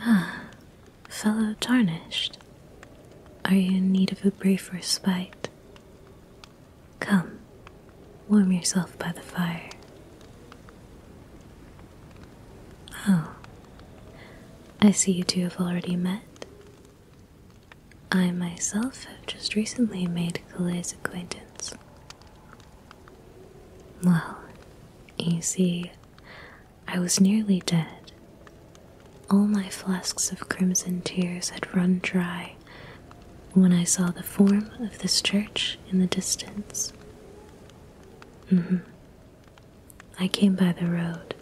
Ah, fellow tarnished, are you in need of a brief respite? Come, warm yourself by the fire. Oh, I see you two have already met. I myself have just recently made Kale's acquaintance. Well, you see, I was nearly dead. All my flasks of crimson tears had run dry when I saw the form of this church in the distance. Mm-hmm. I came by the road,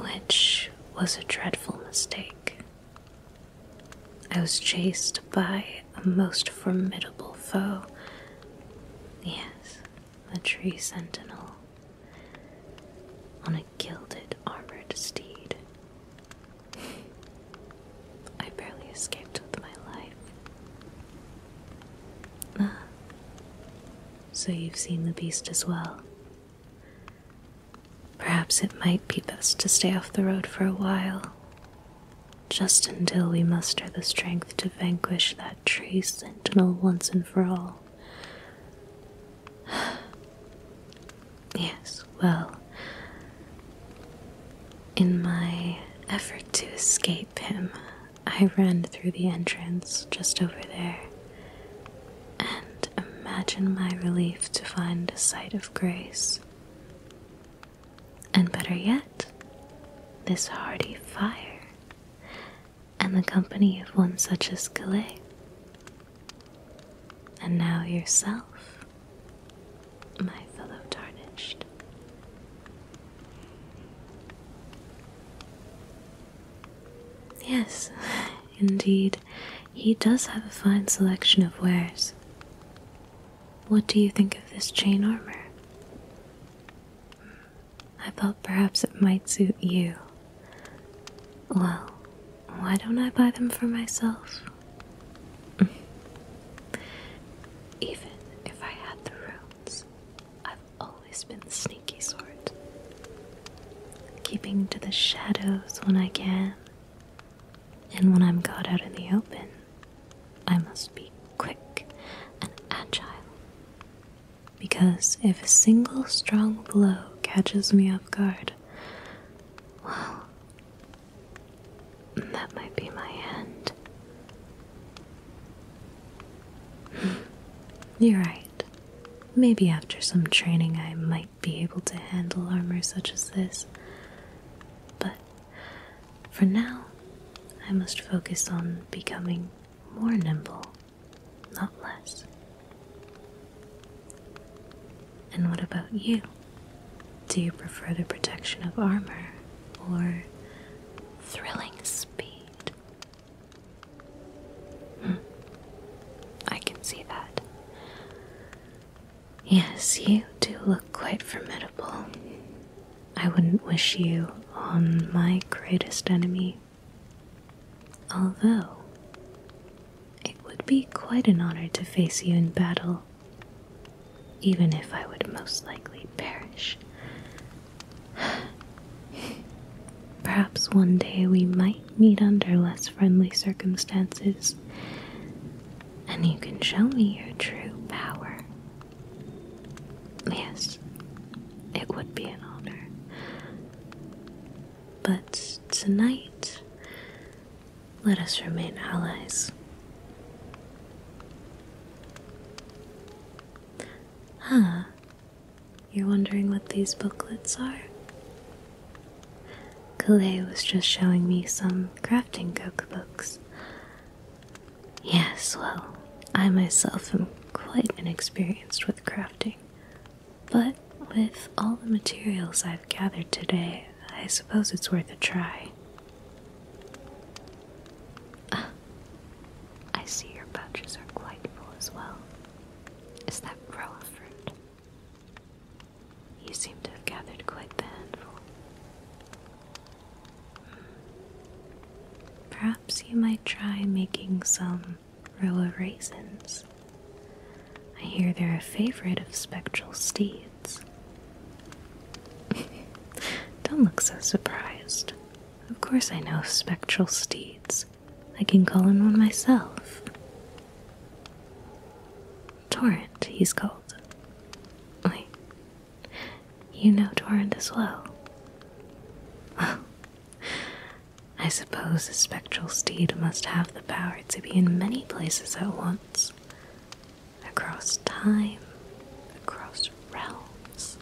which was a dreadful mistake. I was chased by a most formidable foe. Yes, the tree sentinel on a gilded armored steed. I barely escaped with my life. Ah, so you've seen the beast as well. Perhaps it might be best to stay off the road for a while just until we muster the strength to vanquish that tree sentinel once and for all. yes, well, in my effort to escape him, I ran through the entrance just over there. And imagine my relief to find a sight of grace and better yet, this hearty fire, and the company of one such as Calais. And now yourself, my fellow tarnished. Yes, indeed, he does have a fine selection of wares. What do you think of this chain armor? I thought perhaps it might suit you. Well, why don't I buy them for myself? Even if I had the runes, I've always been the sneaky sort. Keeping to the shadows when I can, and when I'm got out in the open, I must be quick and agile. Because if a single strong blow catches me off guard, well, that might be my end. Hmm. You're right. Maybe after some training, I might be able to handle armor such as this. But for now, I must focus on becoming more nimble, not less. And what about you? Do you prefer the protection of armor or thrilling speed? Hmm. I can see that. Yes, you do look quite formidable. I wouldn't wish you on my greatest enemy. Although, it would be quite an honor to face you in battle, even if I would most likely perish. Perhaps one day we might meet under less friendly circumstances, and you can show me your true power. Yes, it would be an honor. But tonight, let us remain allies. Huh. You're wondering what these booklets are? Kalei was just showing me some graphics crafting cookbooks. Yes, well, I myself am quite inexperienced with crafting, but with all the materials I've gathered today, I suppose it's worth a try. Ah, I see your pouches are quite full as well. Is that raw fruit? You seem to have gathered quite the handful. Hmm. Perhaps you might try making some row of raisins. I hear they're a favorite of spectral steeds. Don't look so surprised. Of course, I know spectral steeds. I can call in one myself. Torrent, he's called. Wait. You know Torrent as well. I suppose the spectral steed must have the power to be in many places at once. Across time, across realms.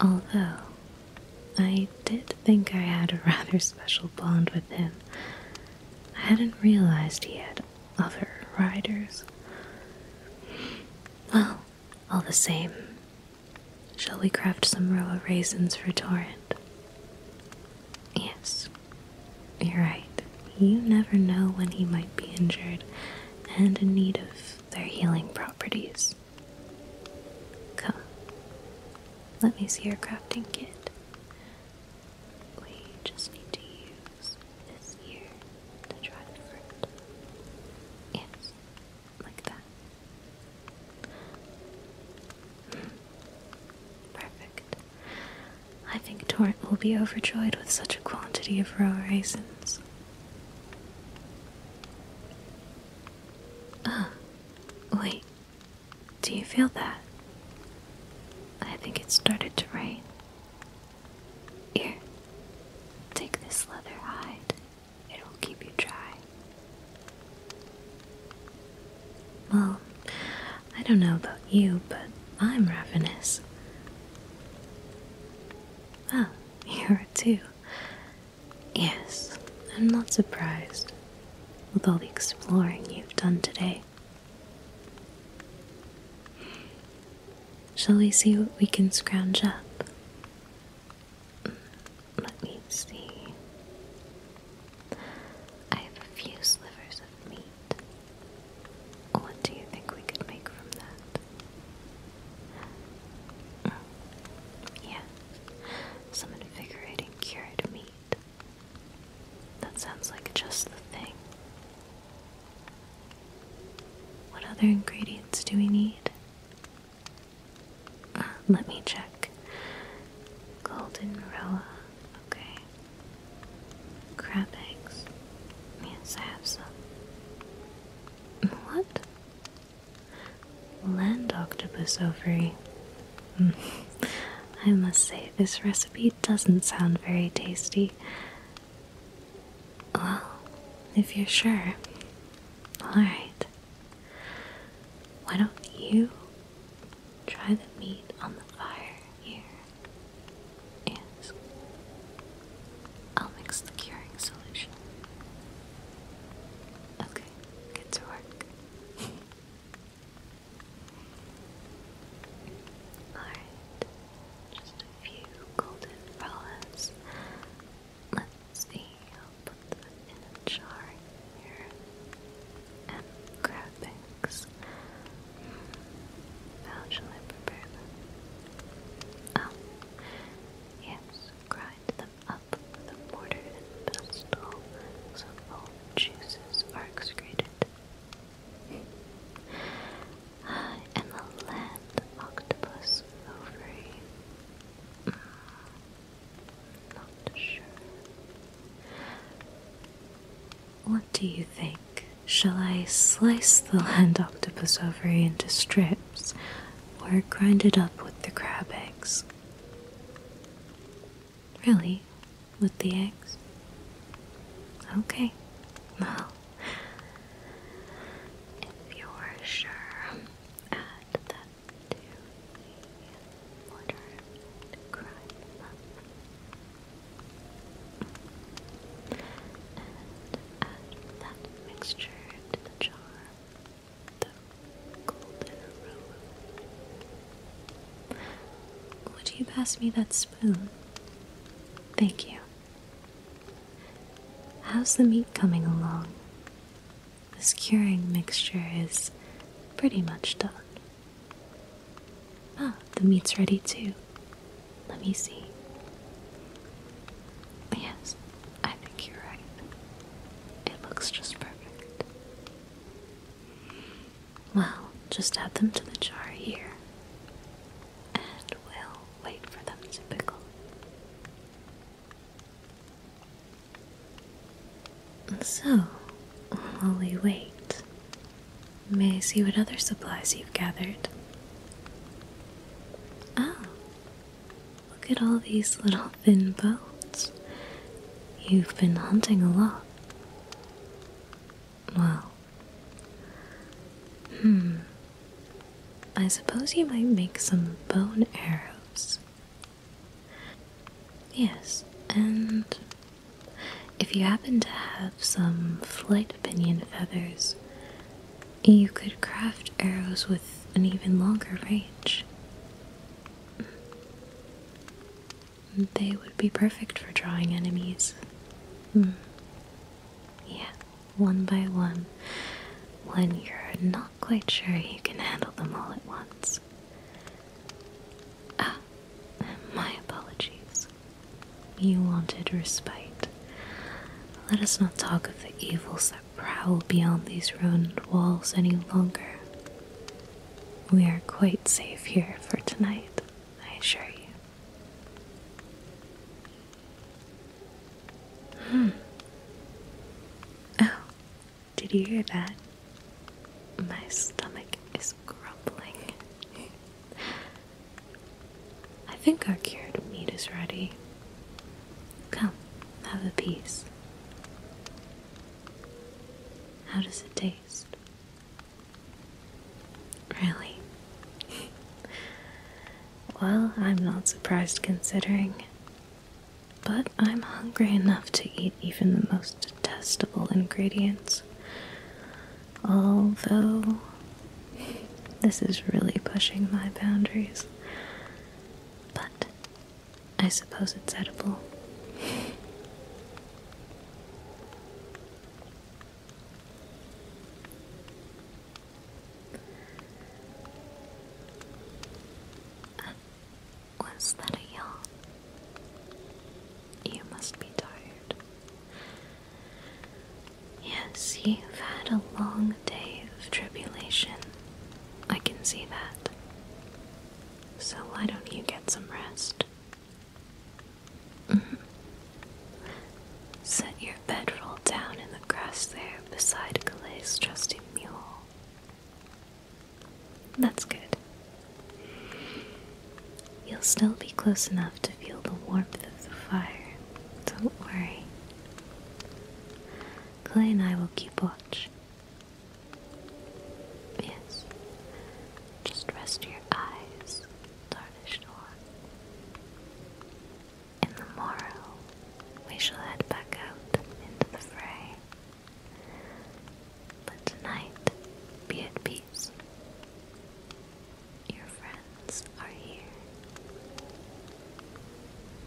Although, I did think I had a rather special bond with him I hadn't realized he had other riders. Well, all the same, shall we craft some row of raisins for Torrent? Yes, you're right. You never know when he might be injured and in need of their healing properties. Come, let me see your crafting kit. We just need to use this here to try the fruit. like that. Perfect. I think Torrent will be overjoyed with such a quantity of raw raisins. Ah, wait. Do you feel that? I think it started to rain. Here, take this leather hide, it'll keep you dry. Well, I don't know about you, but I'm ravenous. Ah, you are too. Yes, I'm not surprised with all the exploring you've done today. Shall we see what we can scrounge up? Mm, let me see. I have a few slivers of meat. What do you think we could make from that? Mm, yes, some invigorating cured meat. That sounds like just the thing. What other ingredients do we need? Uh, let me check. Golden roa. Okay. Crab eggs. Yes, I have some. What? land octopus ovary. Hmm. I must say, this recipe doesn't sound very tasty. Well, if you're sure. Alright. Why don't you try the meat on the fire here? and I'll mix the curing solution. Okay, get to work. Alright, just a few golden umbrellas. Let's see, I'll put them in a jar here. And graphics. Hmm. How shall I prepare oh, yes, grind the up with mortar and pestle, so all juices are excreted. I am land octopus ovary. Mm, what do you think? Shall I slice the land octopus ovary into strips or grind it up with the crab eggs? Really? With the eggs? Okay. Well, if you're sure, add them to the water and grind And add that mixture to the jar the golden aroma. Would you pass me that spoon? Thank you. How's the meat coming along? This curing mixture is pretty much done. Ah, the meat's ready too. Let me see. Yes, I think you're right. It looks just perfect. Well, just add them to the jar here, and we'll wait for them to pickle. So, while we wait, may I see what other supplies you've gathered? Oh, Look at all these little thin boats. You've been hunting a lot. Well, hmm. I suppose you might make some bone arrows. Yes, and if you happen to have some flight pinion feathers, you could craft arrows with an even longer range. They would be perfect for drawing enemies. Hmm. Yeah, one by one, when you're not quite sure you can handle them all at once. Ah, my apologies. You wanted respite. Let us not talk of the evils prowl beyond these ruined walls any longer. We are quite safe here for tonight, I assure you. Hmm. Oh, did you hear that? My stomach is grumbling. I think our cured meat is ready. Come, have a piece. How does it taste? Really? well, I'm not surprised considering. But I'm hungry enough to eat even the most detestable ingredients. Although, this is really pushing my boundaries. But I suppose it's edible. Uh, was that a yawn? You must be tired. Yes, you've had a long day of tribulation. I can see that. So why don't you get some rest? Mm-hmm. Set your bedroll down in the grass there beside Clay's trusty mule. That's good. You'll still be close enough to feel the warmth of the fire. Don't worry. Clay and I will keep watch Yes. Just rest your eyes, Tarnished In the morrow, we shall head back out into the fray. But tonight, be at peace. Your friends are here.